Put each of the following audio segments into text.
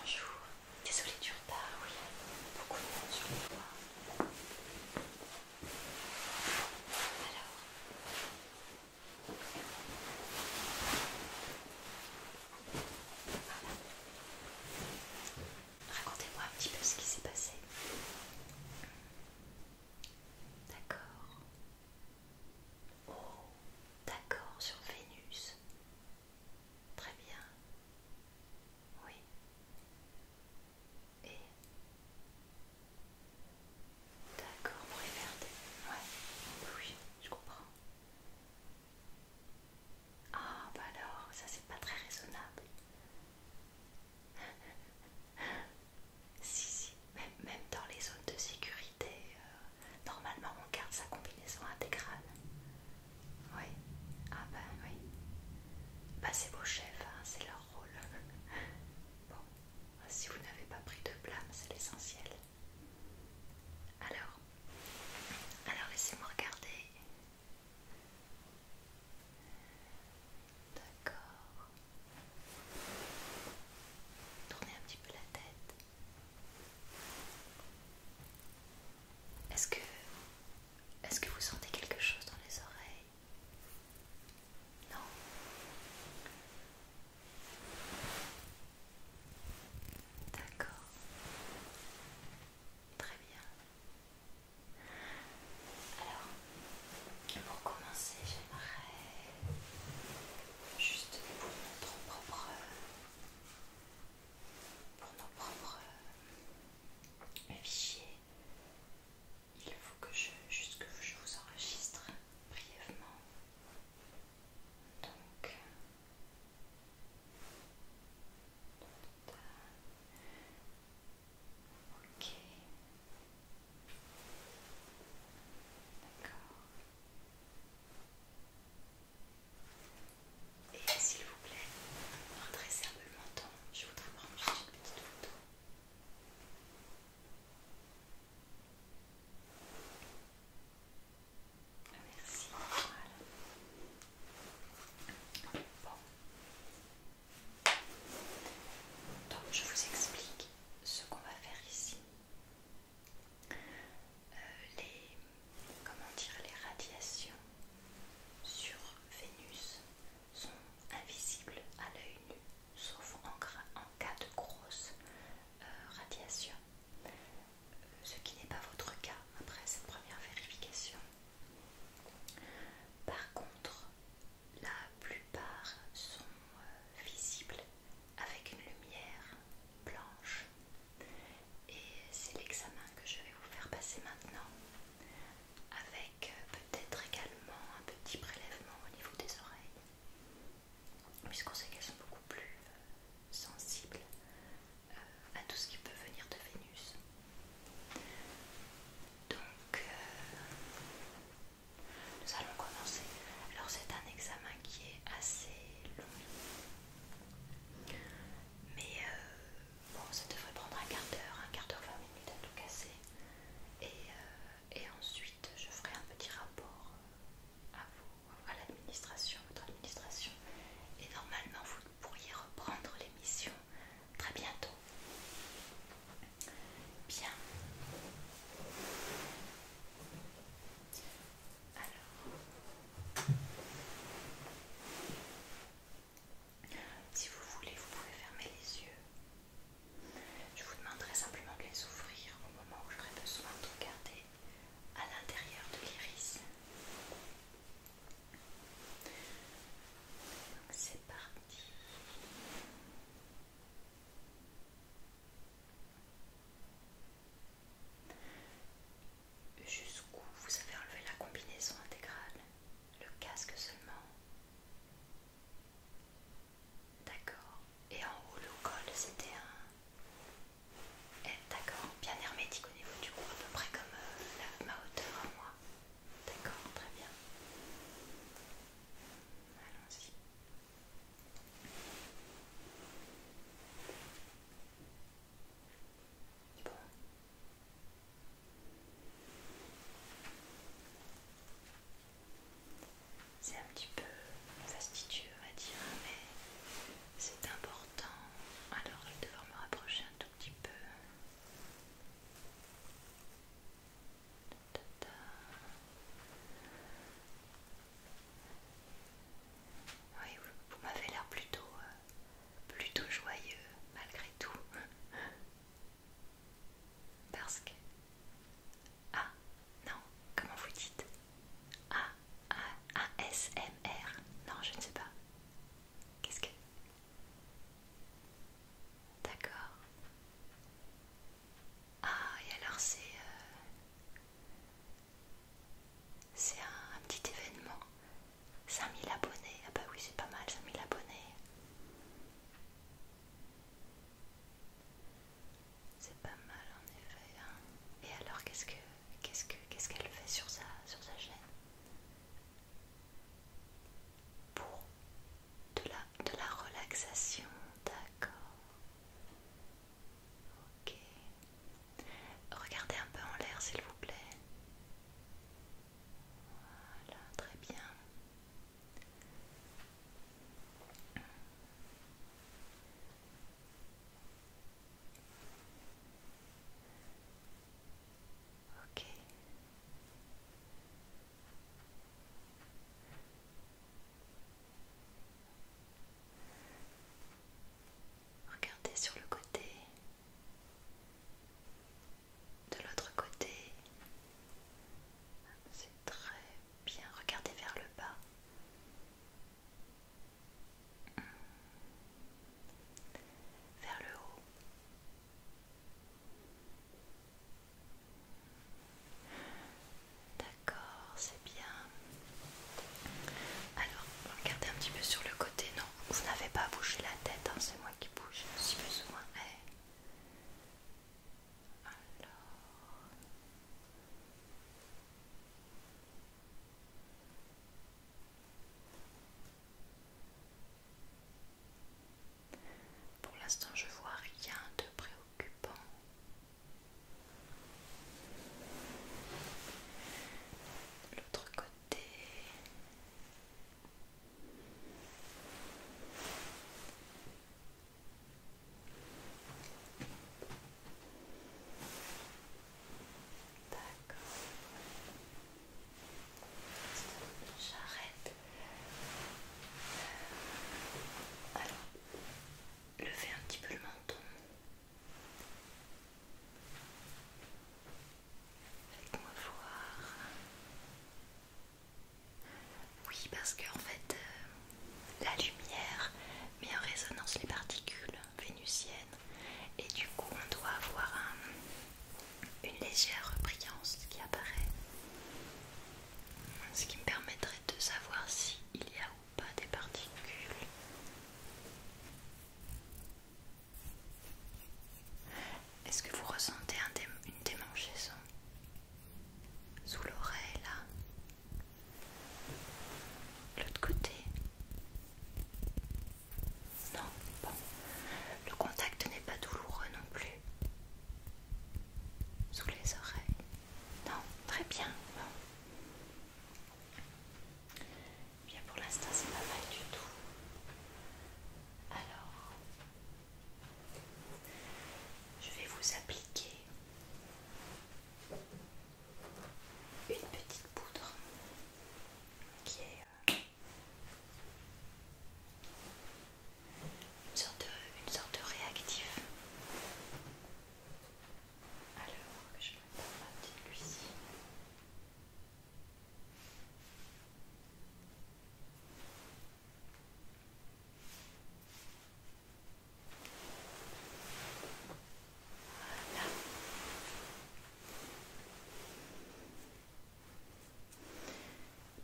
Bonjour, désolée du retard, oui, beaucoup de monde sur le toit. Alors, ah. racontez-moi un petit peu ce qui s'est passé. D'accord. Oh, d'accord, sur Vénus. Très bien. Oui. Et D'accord, pour les Oui, je comprends. Ah, bah alors, ça c'est pas très raisonnable. si, si même, dans les zones de sécurité, euh, normalement on garde sa combinaison intégrale. Oui, ah ben oui. Bah c'est vos chefs, hein, c'est leur rôle. bon, si vous n'avez pas pris de blâme, c'est l'essentiel. Alors, alors laissez-moi regarder. D'accord. Tournez un petit peu la tête. Est-ce que... Est-ce que vous sentez quelque chose dans les oreilles Non D'accord. Très bien. Alors, pour commencer, j'aimerais juste pour notre propre, pour nos propres euh, euh, fichiers. Il faut que je, juste que je vous enregistre brièvement. Donc, ok, d'accord. Et s'il vous plaît, redressez un peu le menton. Je voudrais prendre juste une petite photo. Ah, merci. Voilà. Bon. Donc je vous explique ce qu'on va faire ici. Euh, les, comment dire, les radiations sur Vénus sont invisibles à l'œil nu, sauf en, cas de grosse euh, radiations, radiation, euh, ce qui n'est pas votre cas après cette première vérification. Par contre, la plupart sont visibles avec une lumière blanche. Et c'est l'examen que je vais vous faire passer maintenant, avec euh, peut-être également un petit prélèvement au niveau des oreilles, puisqu'on sait qu'elles sont beaucoup plus euh, sensibles euh, à tout ce qui peut venir de Vénus. Donc, nous allons commencer. Alors c'est un examen qui est assez mais euh, bon, ça devrait prendre un quart d'heure, un quart d'heure, 20 minutes à tout casser. Euh, et, ensuite, je ferai un petit rapport euh, à vous, à l'administration, votre administration. Et normalement, vous pourriez reprendre l'émission très bientôt. Bien. Alors, si vous voulez, vous pouvez fermer les yeux. Je vous demanderai simplement de les ouvrir au moment où j'aurai besoin de regarder à l'intérieur de l'iris. C'est parti. Jusqu'où vous avez enlevé la combinaison intégrale Le casque seulement D'accord. Et en haut, le col, c'était un... Eh, d'accord, bien hermétique au niveau du cou, à peu près comme euh, la, ma hauteur à moi. D'accord, très bien. Allons-y. C'est un petit peu fastidieux, on va dire, mais c'est important. Alors, je vais devoir me rapprocher un tout petit peu. Oui, vous, m'avez l'air plutôt, euh, plutôt joyeux malgré tout. Parce que... Ah, non, comment vous dites A-S-M-R Non, je ne sais pas. Qu'est-ce que... D'accord. Ah, et alors c'est... Euh, c'est un, petit événement. 5000 abonnés. Ah bah oui, c'est pas mal, 5000 abonnés. C'est pas mal en effet. Hein. Et alors qu'est-ce que qu'est-ce que qu'est-ce qu'elle fait sur sa sur sa chaîne Pour de de la relaxation, d'accord. Ok. Regardez un peu en l'air s'il vous plaît. Voilà, très bien. Ok. Regardez sur le côté. De l'autre côté. C'est très bien. Regardez vers le bas. Vers le haut. D'accord, c'est bien. Alors, regardez un petit peu sur le côté. Non, vous n'avez pas bougé la tête, hein, c'est moi qui bouge si besoin. Alors. Pour l'instant, je vois rien de préoccupant l'autre côté D'accord. J'arrête. Euh, alors, levez un petit peu le menton. Faites-moi voir. Oui, parce qu'en fait, euh, la lumière met en résonance les particules vénusiennes et du coup, on doit avoir une légère brillance qui apparaît. Ce qui me permettrait de savoir s'il y a pas des particules. Est-ce que vous ressentez une démangeaison sous l'oreille là L'autre côté Non, Le contact n'est pas douloureux non plus. Sous les oreilles Non, très bien. Bon. Eh bien pour l'instant c'est pas mal du tout. Alors je vais vous appliquer une petite poudre qui est une euh, sorte une sorte de réactif. Alors, je vais prendre ma petite lucie. Voilà.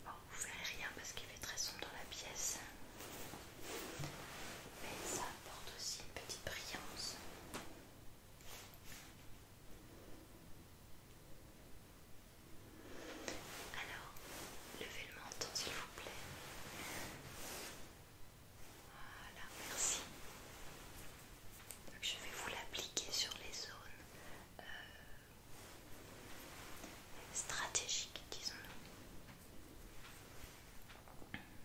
Bon, vous verrez rien hein, parce qu'il fait très sombre dans la pièce mais ça apporte aussi une petite brillance. Alors, levez le menton s'il vous plaît. Voilà, merci. Donc, je vais vous l'appliquer sur les zones euh, stratégiques, disons-nous.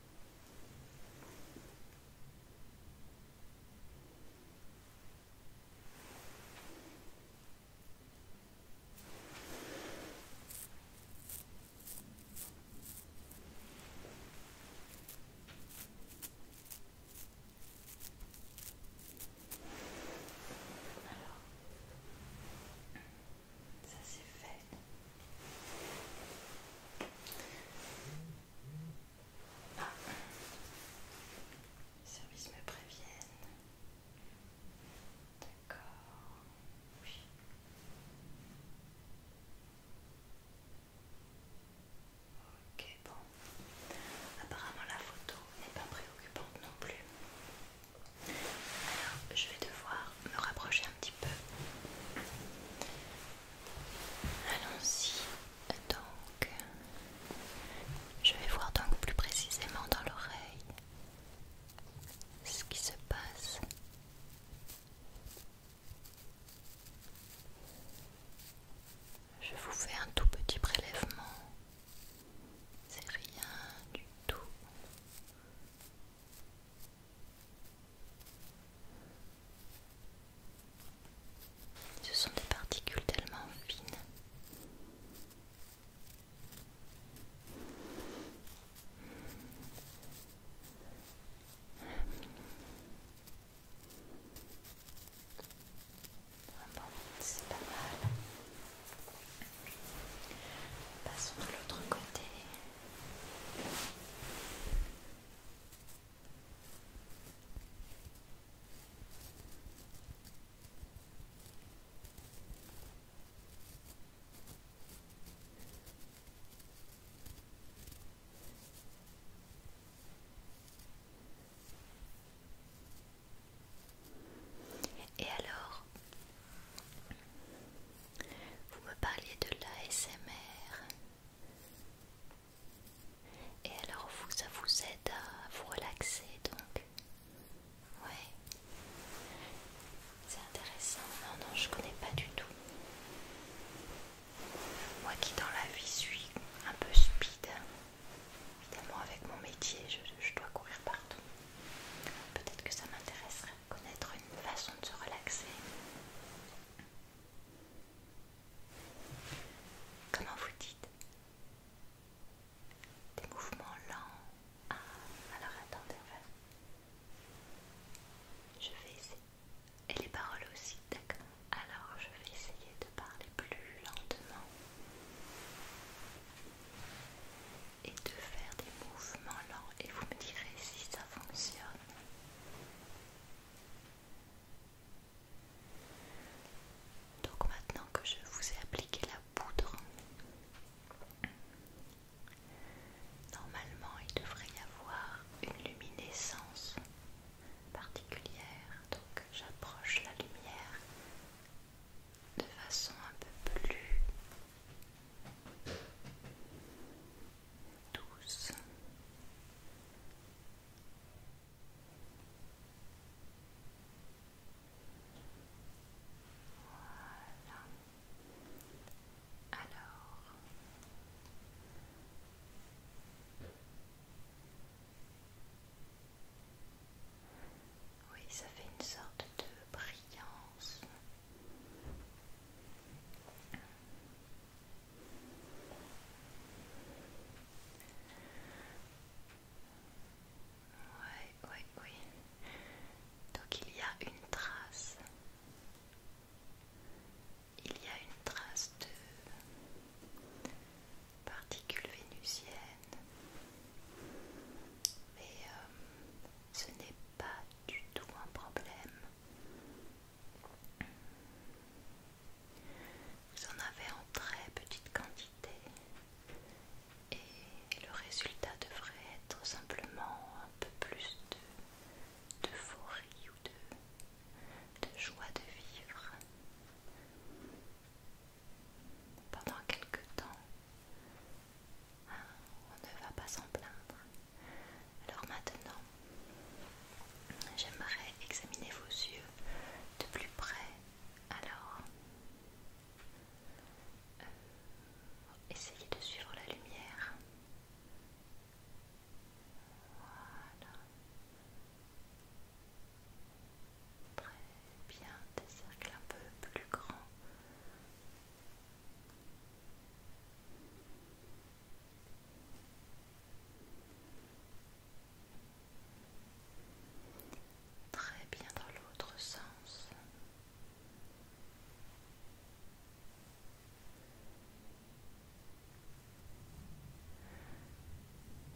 Alors, ça c'est fait. Les services me préviennent. D'accord. Oui. Ok, bon. Apparemment la photo n'est pas préoccupante non plus. Alors, je vais devoir me rapprocher un petit peu. Allons-y. Donc, je vais voir donc plus précisément dans l'oreille ce qui se passe. Je vous fais un tout petit prélèvement. C'est rien du tout. Ce sont des particules tellement fines. Ah c'est pas mal. Passons de l'autre côté. Et alors, vous me parliez de l'ASMR, et alors vous, ça vous aide à vous relaxer donc Ouais. C'est intéressant. Non, non, je connais pas du tout. Moi qui dans la vie suis un peu speed, évidemment avec mon métier, je, je dois courir partout. Peut-être que ça m'intéresserait de connaître une façon de se relaxer. Comment vous dites Des mouvements lents. Ah, alors attendez, je vais essayer. Et les paroles aussi, d'accord Alors je vais essayer de parler plus lentement et de faire des mouvements lents et vous me direz si ça fonctionne. Donc maintenant que je vous ai appliqué la poudre, normalement il devrait y avoir une luminescence particulière. Donc j'approche la lumière de façon un peu plus douce. Alors, oui, ça fait une sorte de brillance. Oui, oui, oui. Donc il y a une trace. Il y a une trace de particules vénusiennes. Mais euh, ce n'est pas du tout un problème. Vous en avez en très petite quantité et le résultat devrait être simplement un peu plus de d'euphorie ou de, de joie de vivre. Pendant quelque temps, hein, on ne va pas s'en plaindre. Alors maintenant, j'aimerais examiner vos yeux de plus près. Alors, euh, essayez de suivre la lumière. Voilà. Très bien, des cercles un peu plus grands. Très bien dans l'autre sens.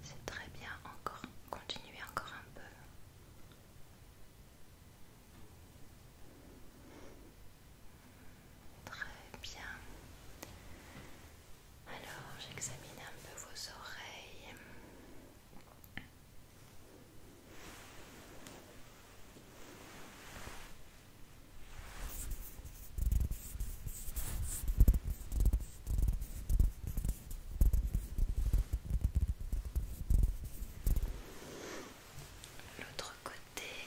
C'est très bien, encore continuez encore un peu. Très bien. Alors, j'examine un peu vos oreilles. L'autre côté.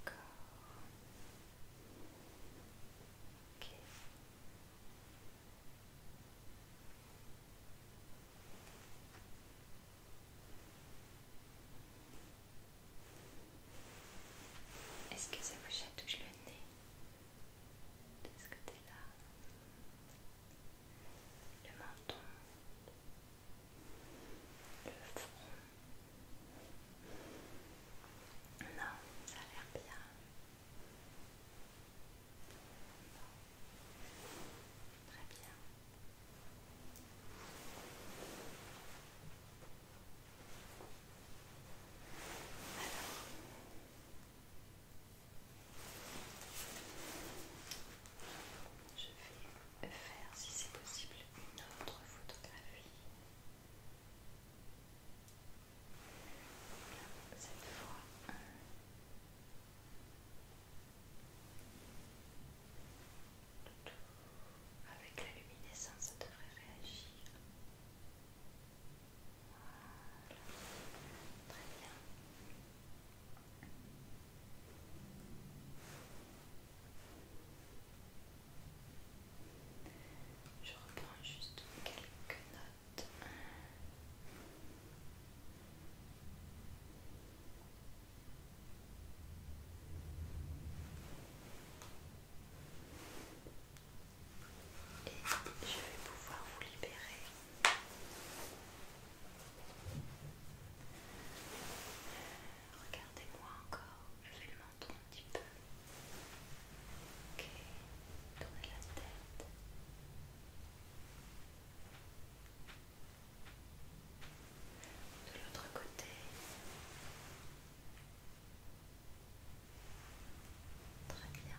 Ok. Est-ce que ça vous chatouche le nez de ce côté-là Le menton non, ça a l'air bien. Très bien. Alors. Je vais faire si c'est possible une autre photographie. Cette fois. Avec la luminescence, ça devrait réagir. Très bien. Je reprends juste quelques notes. Et je vais pouvoir vous libérer regardez-moi encore, je fais le menton un petit peu. Ok, tournez la tête. De l'autre côté. Très bien.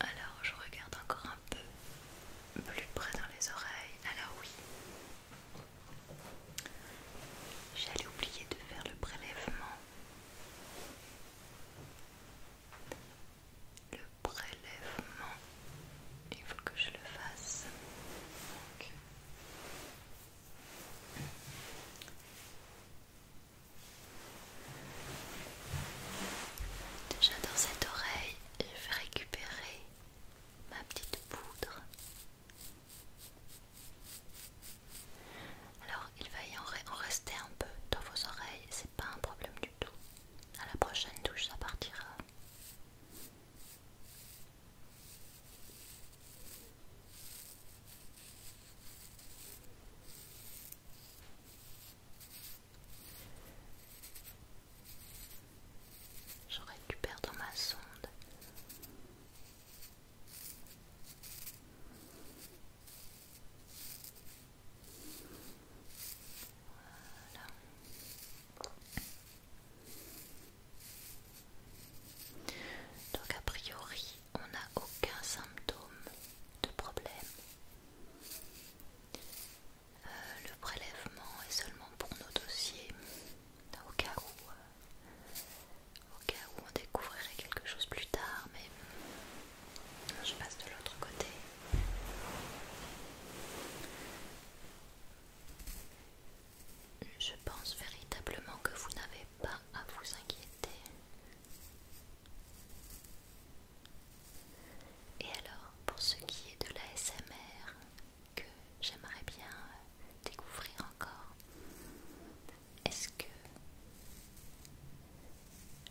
Alors je regarde encore un peu plus près dans les oreilles. Alors oui. J'allais oublier de faire le prélèvement. Le prélèvement, il faut que je le fasse. Donc. Déjà dans cette oreille, je vais récupérer ma petite poudre. Alors, il va y en rester un peu dans vos oreilles, c'est pas un problème du tout. À la prochaine douche, ça partira. Je récupère dans ma sonde. Donc a priori, on n'a aucun symptôme de problème. Euh, le prélèvement est seulement pour nos dossiers, au cas où, euh, au cas où on découvrirait quelque chose plus tard, mais je passe de l'autre côté. Je pense véritablement que vous n'avez pas à vous inquiéter. Et alors, pour ce qui est de l'ASMR, que j'aimerais bien euh, découvrir encore, est-ce que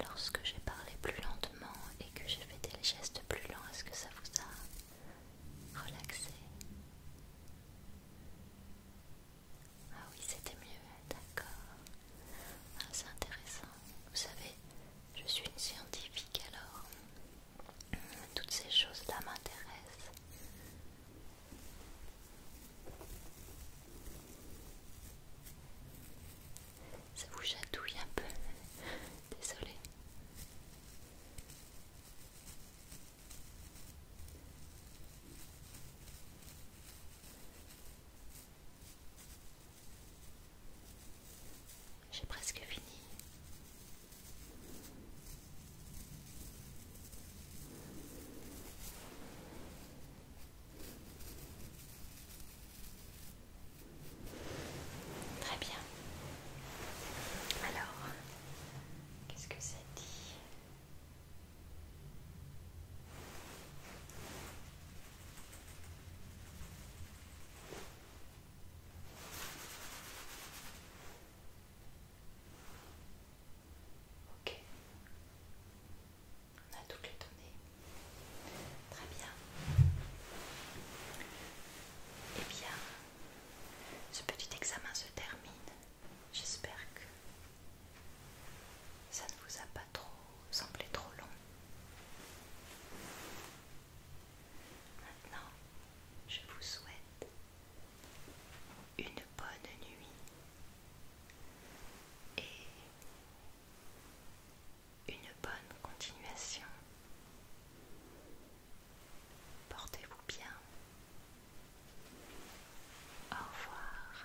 lorsque j'ai parlé plus lentement et que j'ai fait des gestes plus lents, est-ce que ça vous a relaxé ah oui, c'était mieux, d'accord. Ah, c'est intéressant. Vous savez, je suis une scientifique alors. Euh, toutes ces choses-là m'intéressent. Ça vous chatouille un peu. Désolée. J'ai presque fini. Très bien. Alors, qu'est-ce que ça dit Ok. On a toutes les données. Très bien. Eh bien, ce petit examen se termine. J'espère que ça ne vous a pas trop semblé trop long. Maintenant, je vous souhaite une bonne nuit et une bonne continuation. Portez-vous bien. Au revoir.